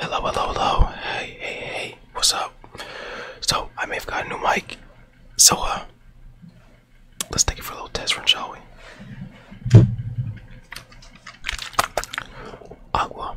Hello, hello, hello. Hey, hey, hey. What's up? So, I may have got a new mic. So, uh, let's take it for a little test run, shall we? Aqua. Oh,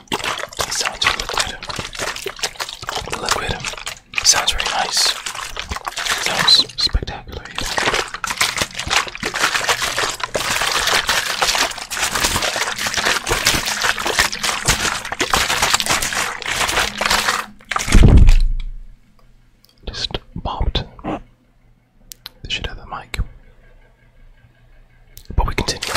sounds of Liquidum The sounds very nice. Sounds spectacular. Just bombed the shit the mic. But we continue.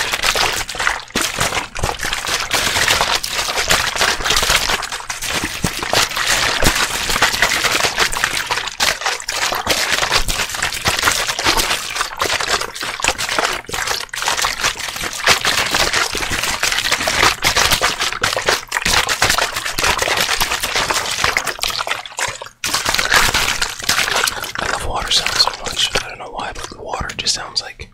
I love water sounds so much. I don't know why, but water just sounds like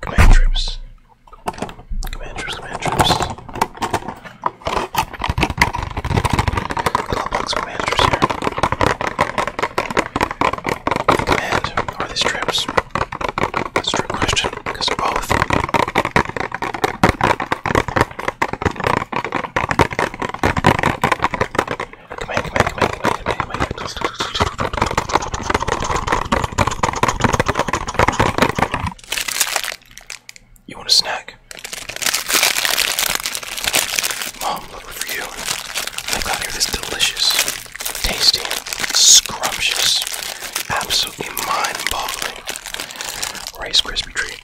Command troops. Command troops, command troops. Glowbox here. Command, are these troops? question, both. command, command, command. You want a snack? Mom, look for you. I have got here this delicious, tasty, scrumptious, absolutely mind-boggling Rice Krispie treat.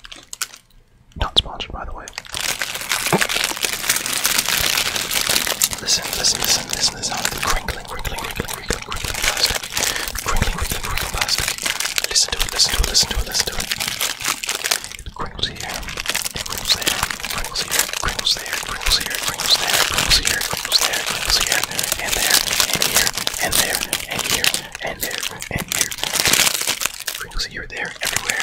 Not sponsored, by the way. Listen, listen, listen, listen listeners out of the crinkling, crinkling, crinkling, crinkling, crinkling plastic. Crinkling, crinkling, crinkling plastic. Listen to it, listen to it, listen to it, listen to it. It crinkles here, it crinkles there, it crinkles here, it crinkles there, it crinkles here, it crinkles there, it crinkles here, it crinkles there, it crinkles here, and there, and here, and there, and here, and there, and here. Crinkles here, there, everywhere.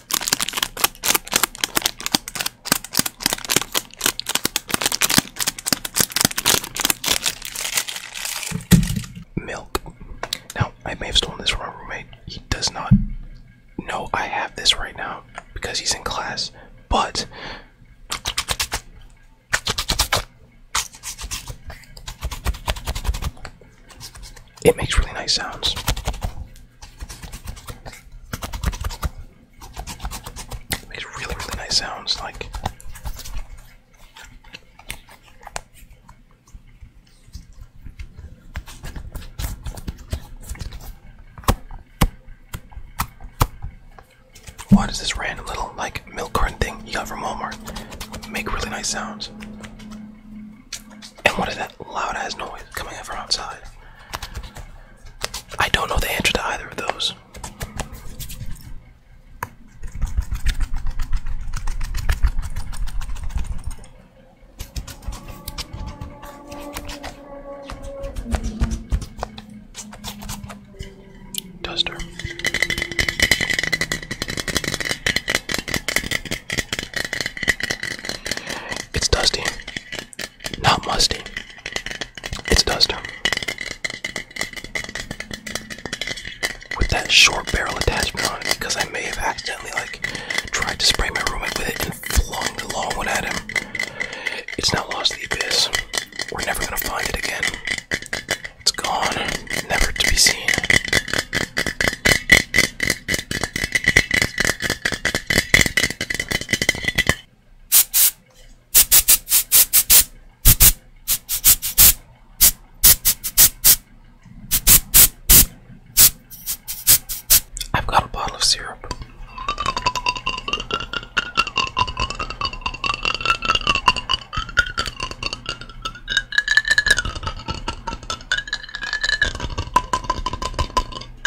Milk. Now, I may have stolen this from my roommate. He does not know I have this right now because he's in class, but. It makes really nice sounds. Makes really, really nice sounds like. What is this random little like milk carton thing you got from Walmart? Make really nice sounds. And what is that loud ass noise coming out from outside? I don't know the answer to either of those. Duster. It's dusty. Not musty. It's duster. With that short barrel attachment because I may have accidentally like tried to spray my roommate with it and flung the long one at him. It's now lost the abyss. We're never gonna find it again. It's gone, never to be seen. I've got a bottle of syrup.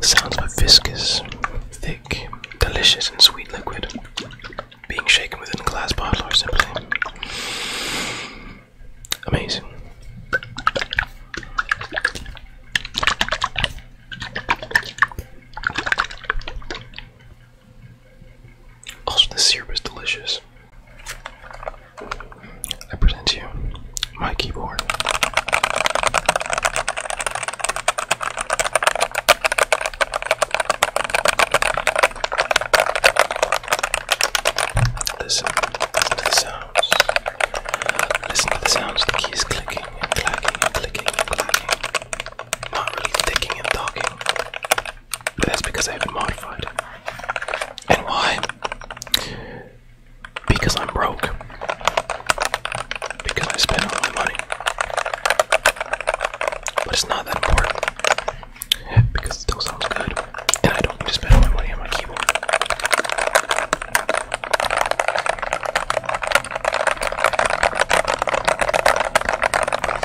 sounds of viscous, thick, delicious, and sweet liquid being shaken within a glass bottle or simply amazing. Also, the syrup is delicious. I present to you my keyboard. Listen, listen to the sounds. Listen to the sounds of the keys clicking and clacking and clicking and clacking. Not really clicking and talking. But that's because I haven't modified it. And why? Because I'm broke. Because I spent all my money. But it's not that important. Because it still sounds good. And I don't need spend all my money on my keyboard.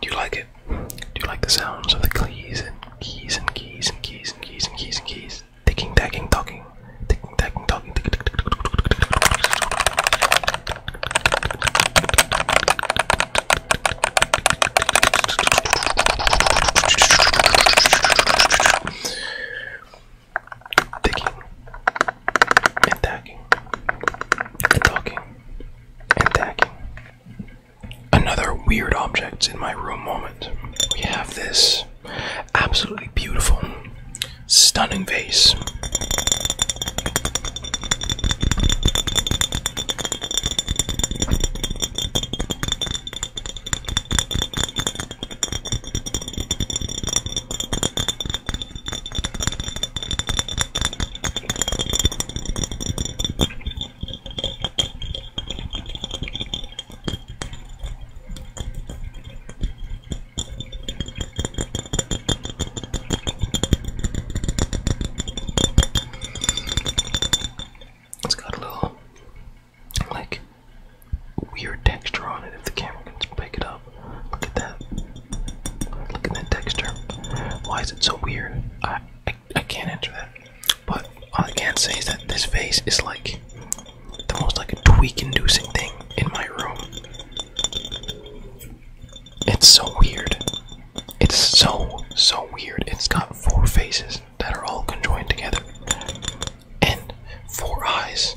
Do you like it? Do you like the sounds of the keys and keys and keys and keys and keys and keys and keys? Ticking, tagging, talking. Ticking, tagging, talking. Ticking and tagging and talking and tagging Another weird object in my room moment. We have this absolutely beautiful, stunning vase. It's got a little like weird texture on it if the camera can pick it up. Look at that. Look at that texture. Why is it so weird? I, I, can't answer that. But all I can say is that this face is like the most like tweak-inducing thing in my room. It's so weird. It's so so weird. It's got four faces that are all conjoined together, and four eyes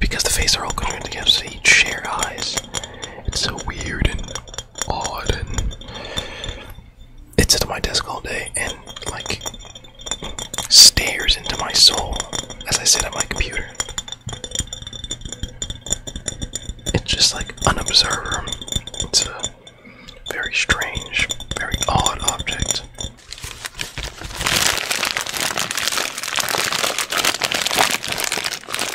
because the faces are all conjoined together, so they each share eyes. It's so weird and odd and it sits on my desk all day and like stares into my soul as I sit at my computer. It's just like an observer. It's a very strange, very odd object. Paper, paper, paper, paper,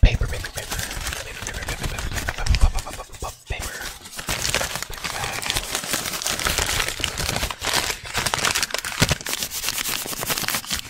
paper, paper, paper, paper, paper, paper, bag.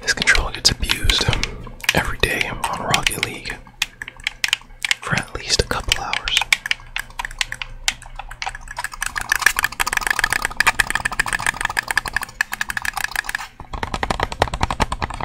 This controller gets abused every day on Rocket League for at least a couple hours.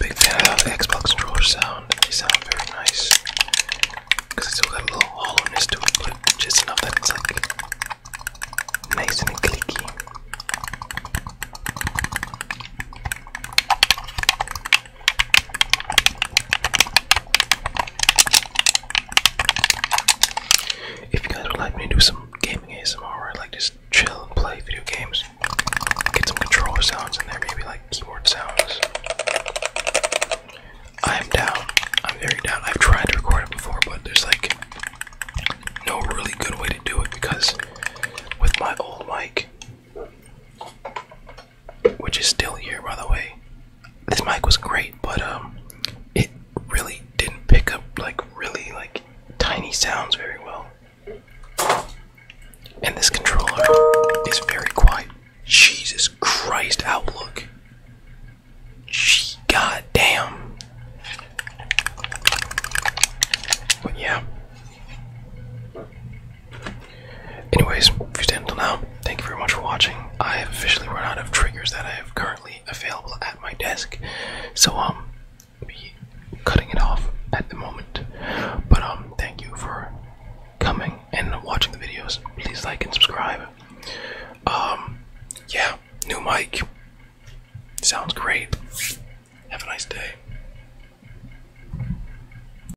Big fan of the Xbox controller sound. They sound very nice. Because it's still got a little hollowness to it, but just enough that it's like nice and clicky. If you guys would like me to do some gaming ASMR like just chill and play video games, get some controller sounds in there, maybe like keyboard sounds. I am down. I'm very down. I've tried to record it before, but there's like no really good way to do it because with my old mic, which is still here by the way. This mic was great, but um it really didn't pick up like really like tiny sounds very well. And this controller is very quiet. Jesus Christ, Outlook. Gee, God But yeah. Anyways, if you're staying until now, thank you very much for watching. I have officially run out of triggers that I have currently available at my desk, so um, be cutting it off at the moment. But um, thank you for coming and watching the videos. Please like and subscribe. Um, yeah, new mic sounds great. Have a nice day.